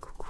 Coucou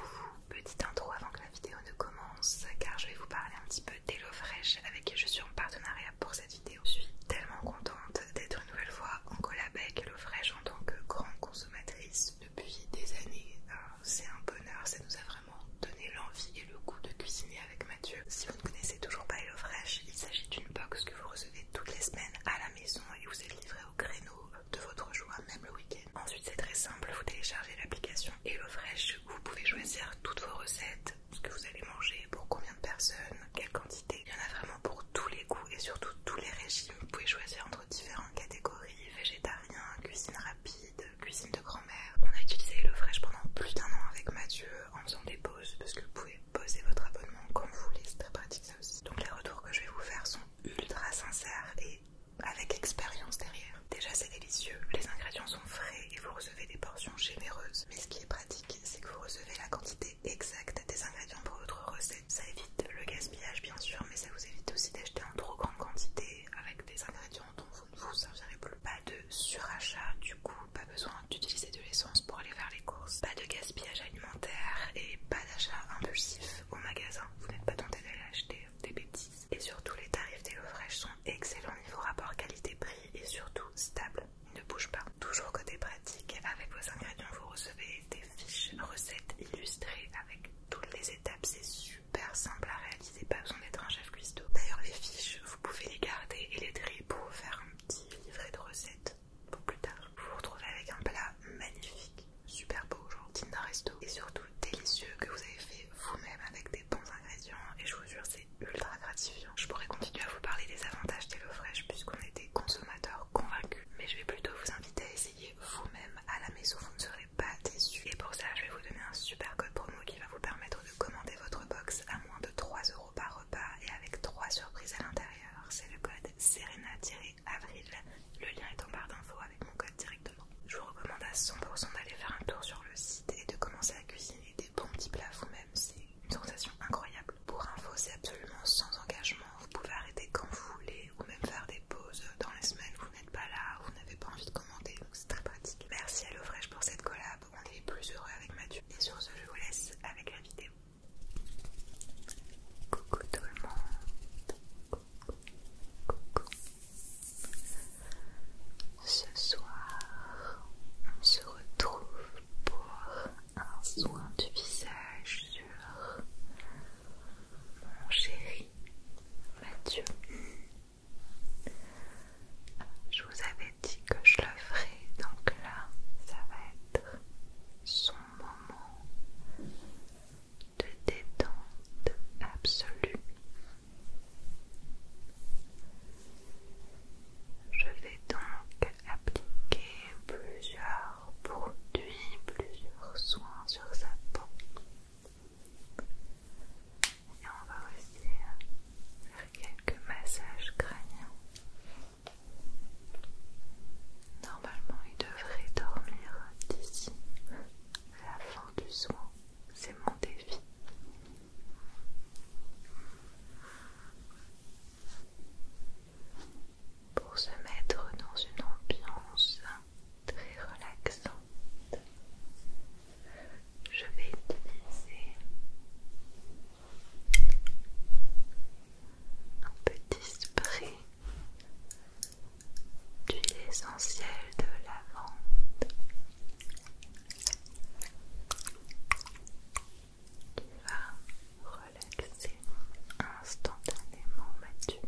Petite intro avant que la vidéo ne commence car je vais vous parler un petit peu d'HelloFresh avec qui je suis en partenariat pour cette vidéo. Je suis tellement contente d'être une nouvelle fois en collab avec HelloFresh en tant que grande consommatrice depuis des années. Hein. C'est un bonheur, ça nous a vraiment donné l'envie et le goût de cuisiner avec Mathieu. Si vous ne connaissez toujours pas HelloFresh, il s'agit d'une box que vous recevez toutes les semaines à la maison et vous êtes livré au de votre joie, même le week-end. Ensuite, c'est très simple, vous téléchargez l'application HelloFresh vous pouvez choisir toutes vos recettes, ce que vous allez manger, pour combien de personnes, quelle quantité. Il y en a vraiment pour tous les goûts et surtout tous les régimes. Vous pouvez choisir entre différentes catégories, végétarien, cuisine rapide, cuisine de grand-mère. On a utilisé HelloFresh pendant plus d'un an avec Mathieu en faisant des pauses parce que vous pouvez poser votre abonnement comme vous voulez, c'est très pratique ça aussi. Donc les retours que je vais vous faire sont ultra sincères et avec expérience derrière. Déjà c'est délicieux, les ingrédients sont frais et vous recevez des portions généreuses. Mais ce qui est pratique, c'est que vous recevez la quantité exacte des ingrédients pour votre recette. Ça évite le gaspillage bien sûr, mais ça vous évite aussi d'acheter en trop grande quantité avec des ingrédients dont vous ne vous servirez plus. Pas de surachat du coup, pas besoin d'utiliser de l'essence pour aller faire les courses. Pas de gaspillage alimentaire et pas d'achat impulsif au magasin. Vous n'êtes pas tenté d'aller acheter des bêtises. Et surtout, les tarifs des fraîches sont excellents niveau rapport qualité-prix et surtout stable. ils ne bougent pas. Toujours côté pratique, avec vos ingrédients, vous recevez des fiches recettes illustrées avec toutes les étapes, c'est super simple à réaliser, pas besoin d'être un chef cuistot. D'ailleurs, les fiches, vous pouvez les garder et les trier pour faire un petit livret de recettes pour plus tard. Vous vous retrouvez avec un plat magnifique super beau, aujourd'hui, d'un resto et surtout délicieux que vous avez fait vous-même avec des bons ingrédients et je vous jure c'est ultra gratifiant. Je pourrais continuer à vous parler des avantages fraîche puisqu'on est des consommateurs convaincus mais je vais plutôt vous inviter à essayer vous-même à la maison, vous ne serez pas déçus et pour ça je vais vous donner un super code promo qui va vous permettre de commander votre box à moins de 3€ par repas et avec trois surprises à l'intérieur. C'est le code serena avril. Le lien est en barre d'infos avec mon code directement. Je vous recommande à 100% d'aller faire un tour sur le site et de commencer à cuisiner des bons petits plats vous-même. C'est une sensation incroyable. Pour info, c'est absolument sans engagement. Vous pouvez arrêter quand vous voulez ou même faire des pauses dans les semaines vous n'êtes pas là, vous n'avez pas envie de commander. Donc c'est très pratique. Merci à fraîche pour cette collab. On est plus heureux avec Mathieu. Et sur ce, je vous laisse avec la vidéo. Coucou tout le monde. Ce soir, on se retrouve pour un soin du visage sur mon chéri Mathieu. Je vous avais dit que je le ferais, donc là, ça va être son moment de détente absolue. Je vais donc appliquer plusieurs produits, plusieurs soins sur sa peau. Et on va aussi faire quelques massages crâniens. Normalement, il devrait dormir d'ici la fin du soin, c'est mon défi. Pour se mettre dans une ambiance très relaxante, je vais utiliser un petit spray puis l'essentiel de lavande qui va relaxer instantanément Mathieu.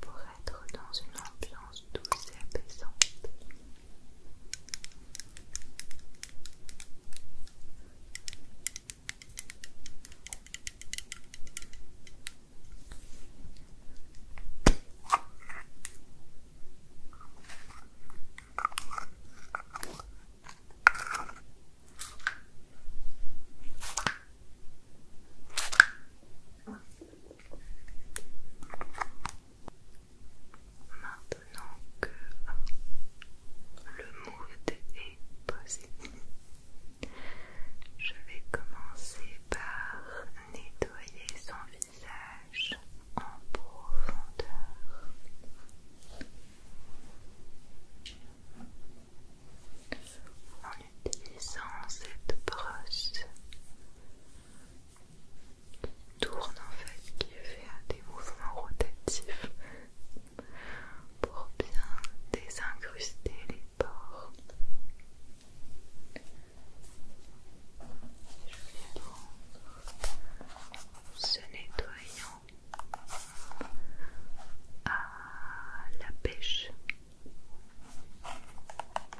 Pour être dans une ambiance douce et apaisante, Maintenant que le mood est posé. Je vais commencer par nettoyer son visage en profondeur. En utilisant cette brosse qui tourne en fait, qui fait des mouvements rotatifs pour bien désincruster les pores. Je vais prendre ce nettoyant à la pêche.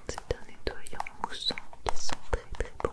C'est un nettoyant moussant qui sent très très bon.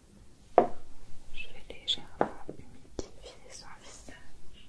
Je vais légèrement humidifier son visage.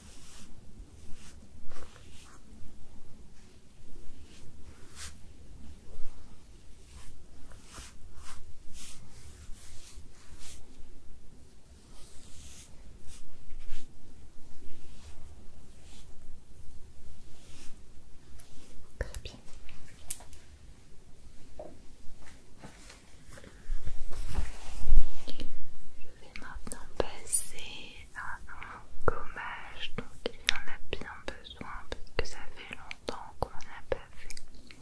bien. Je vais maintenant passer un gommage, donc il en a bien besoin parce que ça fait longtemps qu'on a pas fait. Et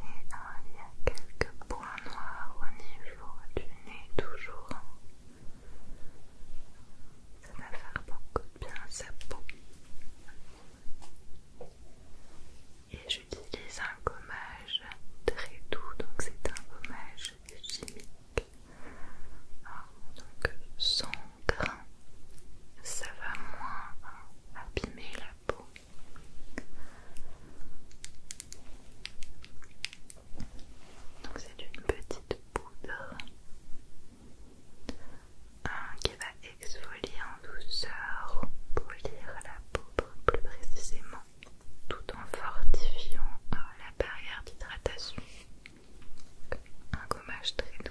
euh, il y a quelques points noirs au niveau du nez, toujours. Ça va faire beaucoup de bien sa peau. Et j'utilise un gommage très doux, donc c'est un gommage chimique. donc sans grains, ça va moins abîmer la peau. Donc c'est une petite poudre euh, qui va exfolier en douceur, pour polir la peau plus précisément tout en fortifiant euh, la barrière d'hydratation. Un gommage très doux.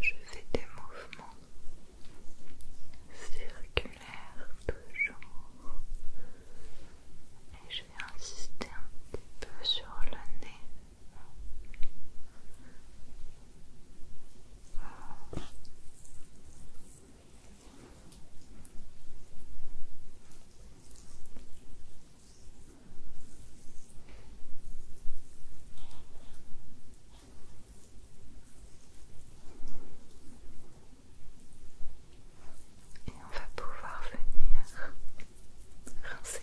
Je fais des mouvements circulaires toujours et je vais insister un petit peu sur le nez. Et on va pouvoir venir rincer.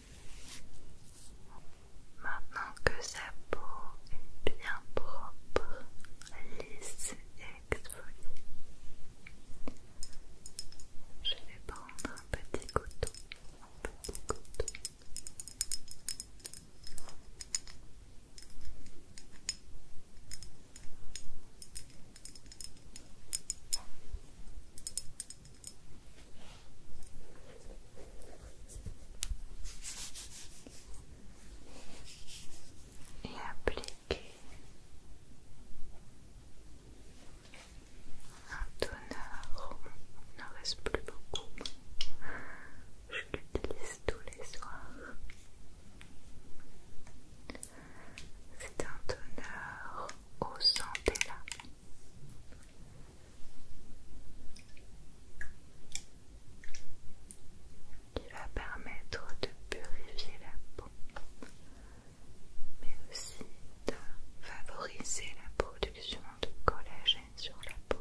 Maintenant que sa peau est bien propre, lisse et exfoliée, je vais prendre un petit couteau et appliquer un toner, il n'en reste plus beaucoup, je l'utilise tous les soirs. C'est un toner au là qui va permettre de purifier la peau mais aussi de favoriser la production de collagène sur la peau.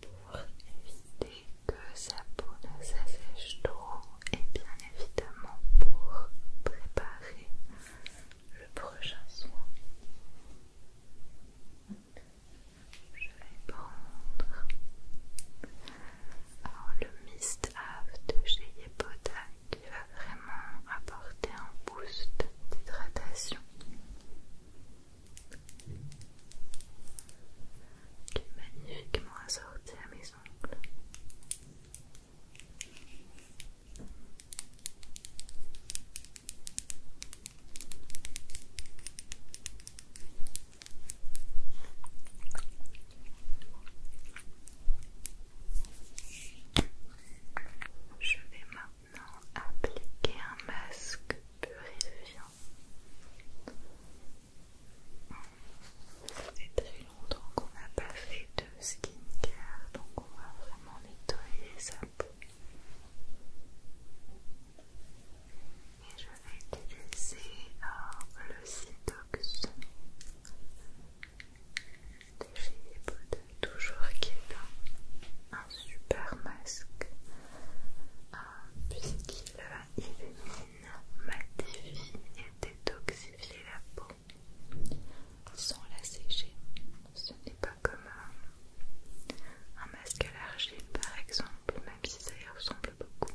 pour éviter que sa peau ne s'assèche trop et bien évidemment pour préparer le prochain soin. Je vais prendre le mist Ave de chez Yeboda qui va vraiment apporter un boost d'hydratation qui est magnifiquement à mes ongles. Je vais maintenant appliquer un masque purifiant. C'est fait très longtemps qu'on n'a pas fait de skincare, donc on va vraiment nettoyer sa peau. Et je vais utiliser euh, le Cytox de bouts de toujours qui est là super masque euh, puisqu'il élimine, matifie et détoxifie la peau sans la sécher. Ce n'est pas comme un masque à l'argile par exemple, même si ça y ressemble beaucoup.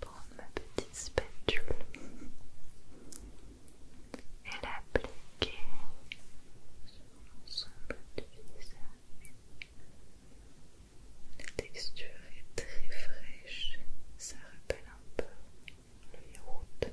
Prendre ma petite spatule et l'appliquer sur l'ensemble du visage. La texture est très fraîche, ça rappelle un peu le yaourt.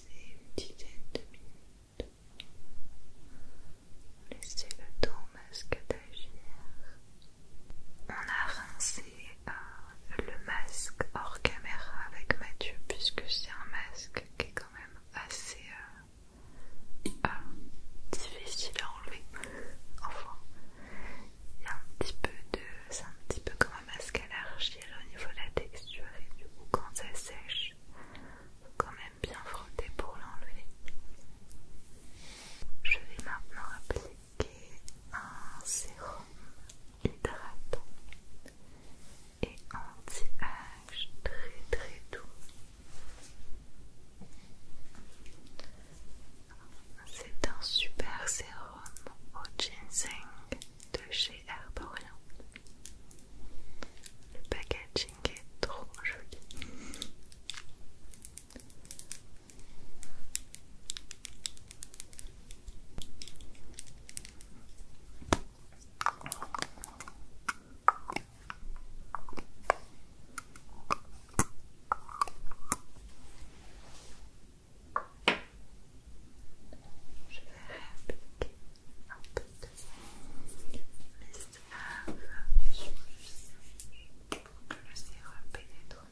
une dizaine de minutes. Laissez le au masque d'agir. On a rincé euh, le masque hors caméra avec Mathieu puisque c'est un masque qui est quand même assez euh, euh, difficile à enlever. Enfin, il y a un petit peu de... c'est un petit peu comme masque à l'argile au niveau de la texture et du coup quand ça sèche, faut quand même bien frotter pour l'enlever. Je vais maintenant appliquer un sérum hydratant et anti-âge très très doux. C'est un super sérum au ginseng de chez chez Herborian. Le packaging est trop joli. Je vais réappliquer un peu de mist pour que le pénètre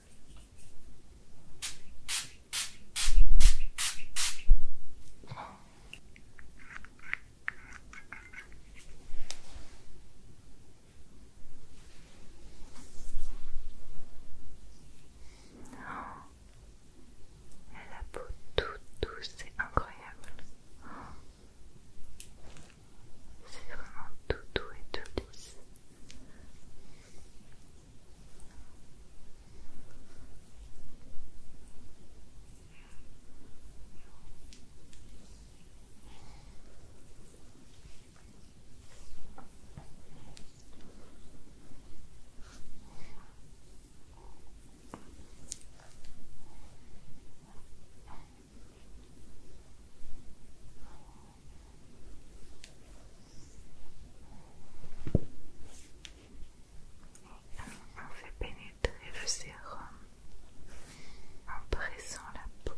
elle a la peau tout douce, c'est incroyable. C'est vraiment tout doux et tout lisse. On fait pénétrer le sérum en pressant la peau.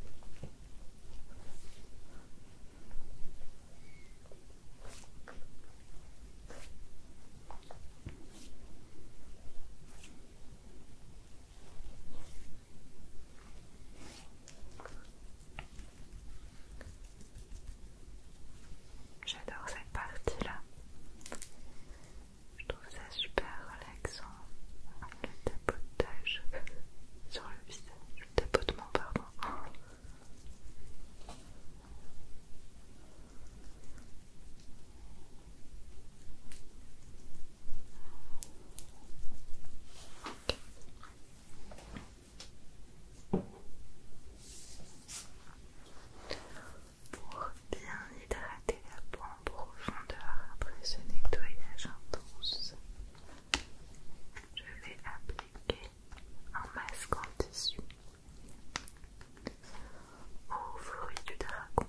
J'adore cette partie-là. Je trouve ça super relaxant. Le tapotage sur le visage. Le tapotement, pardon. Pour bien hydrater la peau en profondeur après ce nettoyage intense, je vais appliquer un masque en tissu aux fruits du dragon.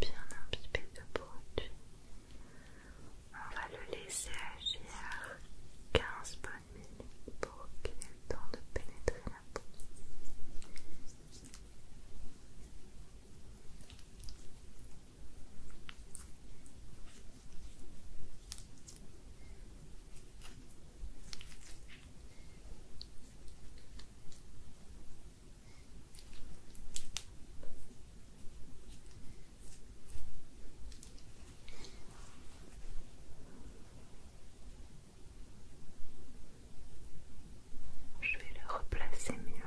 Bien peu de produit, on va le laisser agir 15 bonnes minutes pour qu'il ait le temps de pénétrer la peau. Je vais le replacer mieux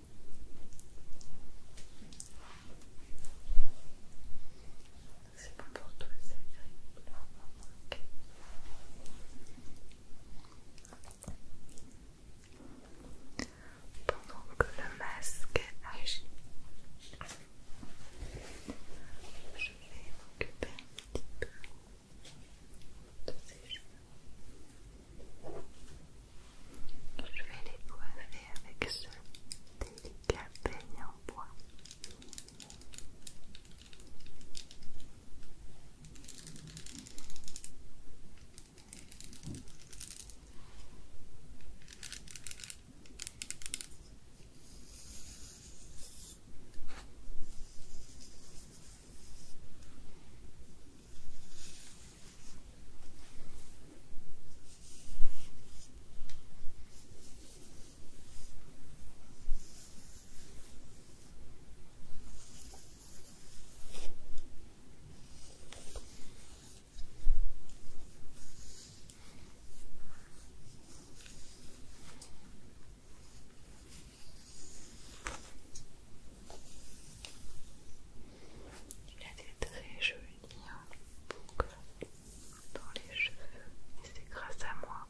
C'est bon pour toi, c'est agréable. Pendant que le masque agit, je vais m'occuper un petit peu de ses cheveux. Je vais les coiffer avec ce délicat peigne en bois. Il a des très joli a une boucle dans les cheveux et c'est grâce à moi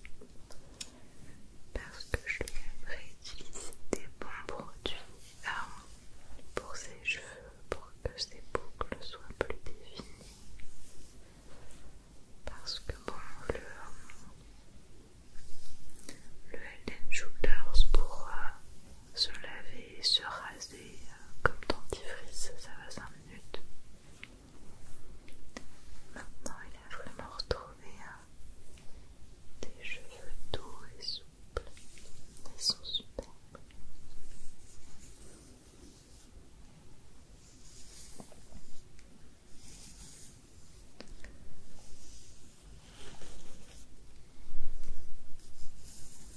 parce que je lui ai des bons produits hein, pour ses cheveux pour que ses boucles soient plus définies parce que bon le le Elden Shooters pour se laver et se raser euh, comme dentifrice, ça va 5 minutes. Maintenant, il a vraiment retrouvé euh, des cheveux doux et souples. Ils sont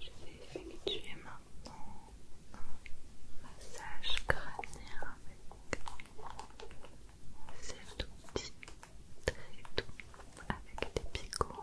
Je vais effectuer maintenant un massage crânien avec tout outil très doux avec des picots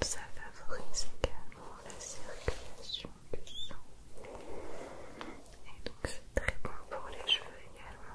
Ça favorise également la circulation du sang. Et donc c'est très bon pour les cheveux également.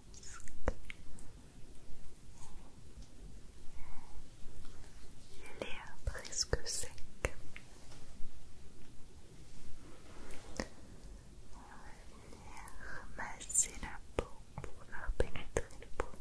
Il est presque sec. On va venir masser la peau pour faire pénétrer le produit.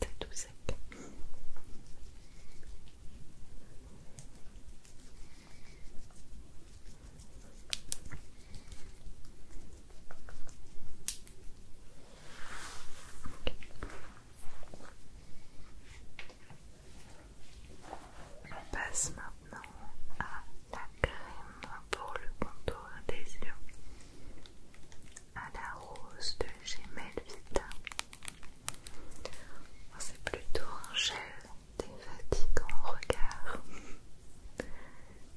c'est tout sec. On passe maintenant à la crème pour le contour des yeux à la rose de Gemel Vita. C'est plutôt un gel défatigant regard.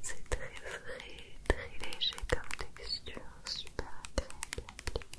C'est très frais, très léger comme texture, super très à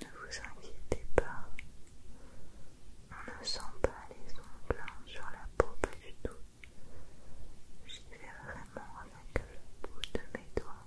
ne vous inquiétez pas, on ne sent pas les ongles sur la peau pas du tout. J'y vais vraiment avec le bout de mes doigts.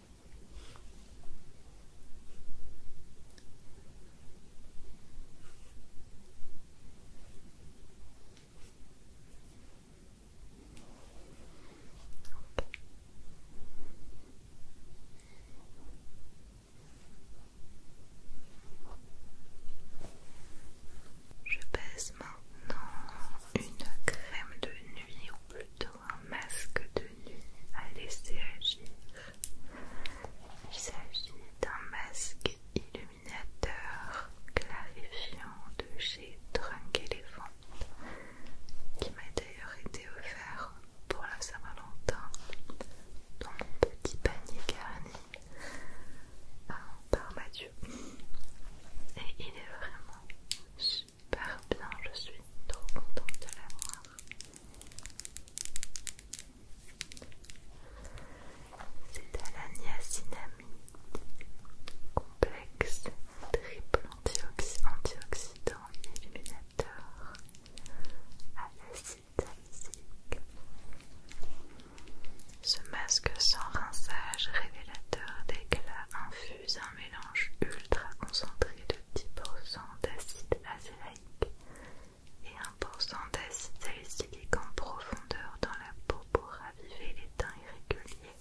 Je pèse maintenant une crème de nuit ou plutôt un masque de nuit à laisser agir. Il s'agit d'un masque illuminateur clarifiant de chez Drunk Elephant qui m'a d'ailleurs été offert pour la Saint-Valentin dans mon petit panier garni hein, par Mathieu. Et il est vraiment par bien, je suis trop contente de l'avoir. C'est à la niacinamide, complexe, triple antioxydant illuminateur à l'acide Ce masque sans rinçage révélateur d'éclat infus un mélange ultra concentré de 10% d'acide acélaïque et 1% d'acide salicylique en profondeur dans la peau pour raviver les teints irréguliers,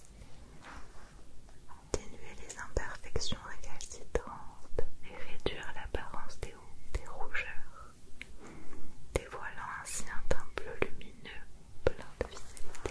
atténuer les imperfections récalcitrantes et réduire l'apparence des, des rougeurs, dévoilant ainsi un teint bleu lumineux plein de vitalité.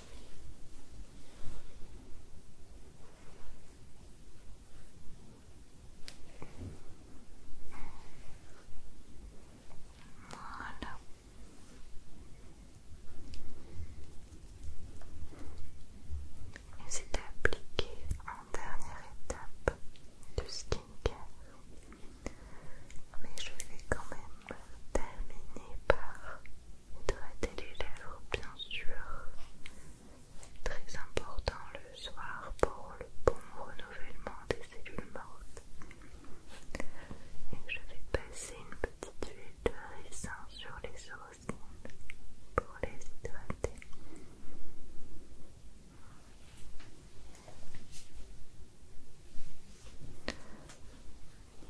Voilà. c'est appliqué en dernière étape de skincare. Mais je vais quand même terminer par Hydrater les lèvres, bien sûr. Très important le soir pour le bon renouvellement des cellules mortes. Et je vais passer une petite huile de raisin sur les os pour les hydrater.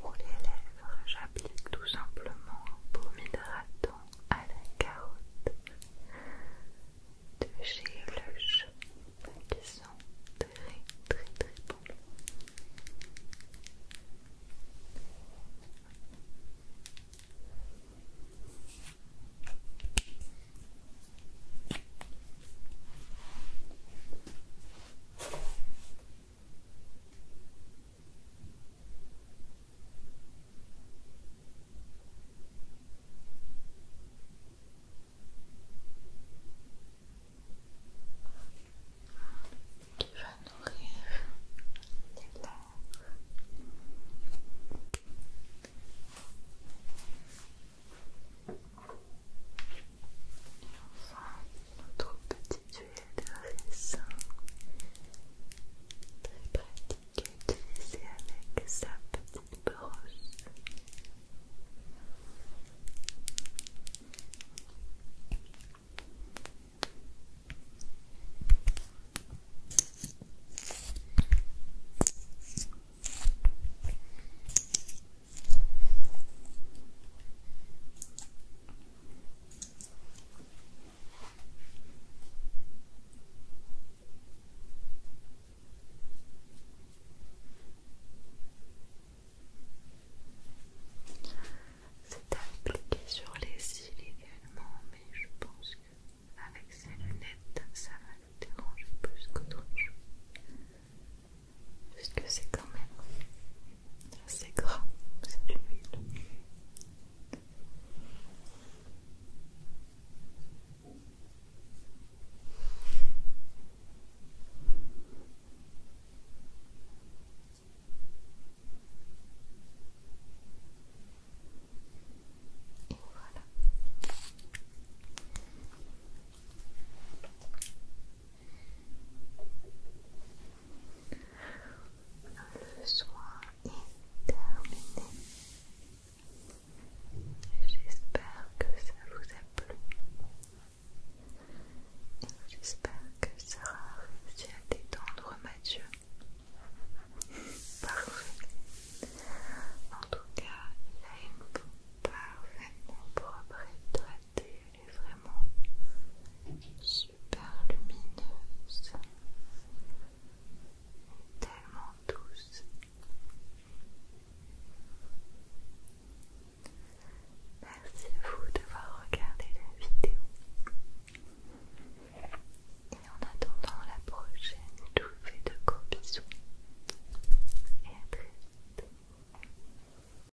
Pour les lèvres, j'applique tout simplement un baume hydratant à la carotte de chez Lush qui sont très très très bon qui va nourrir les lèvres notre petit duel de raisin très pratique à utiliser avec sa petite brosse c'est appliqué sur les cils également, mais je pense que avec ces lunettes, ça va nous déranger plus qu'autre chose que c'est quand même assez gras, c'est du huile. voilà. Le soin est terminé. J'espère que ça vous a plu. J'espère que ça a réussi à détendre Mathieu. Parfait. En tout cas, il a une peau parfaitement propre et elle est vraiment super lumineuse tellement douce. Merci à vous d'avoir regardé la vidéo. Et en attendant la prochaine, je vous fais de gros bisous et à très vite.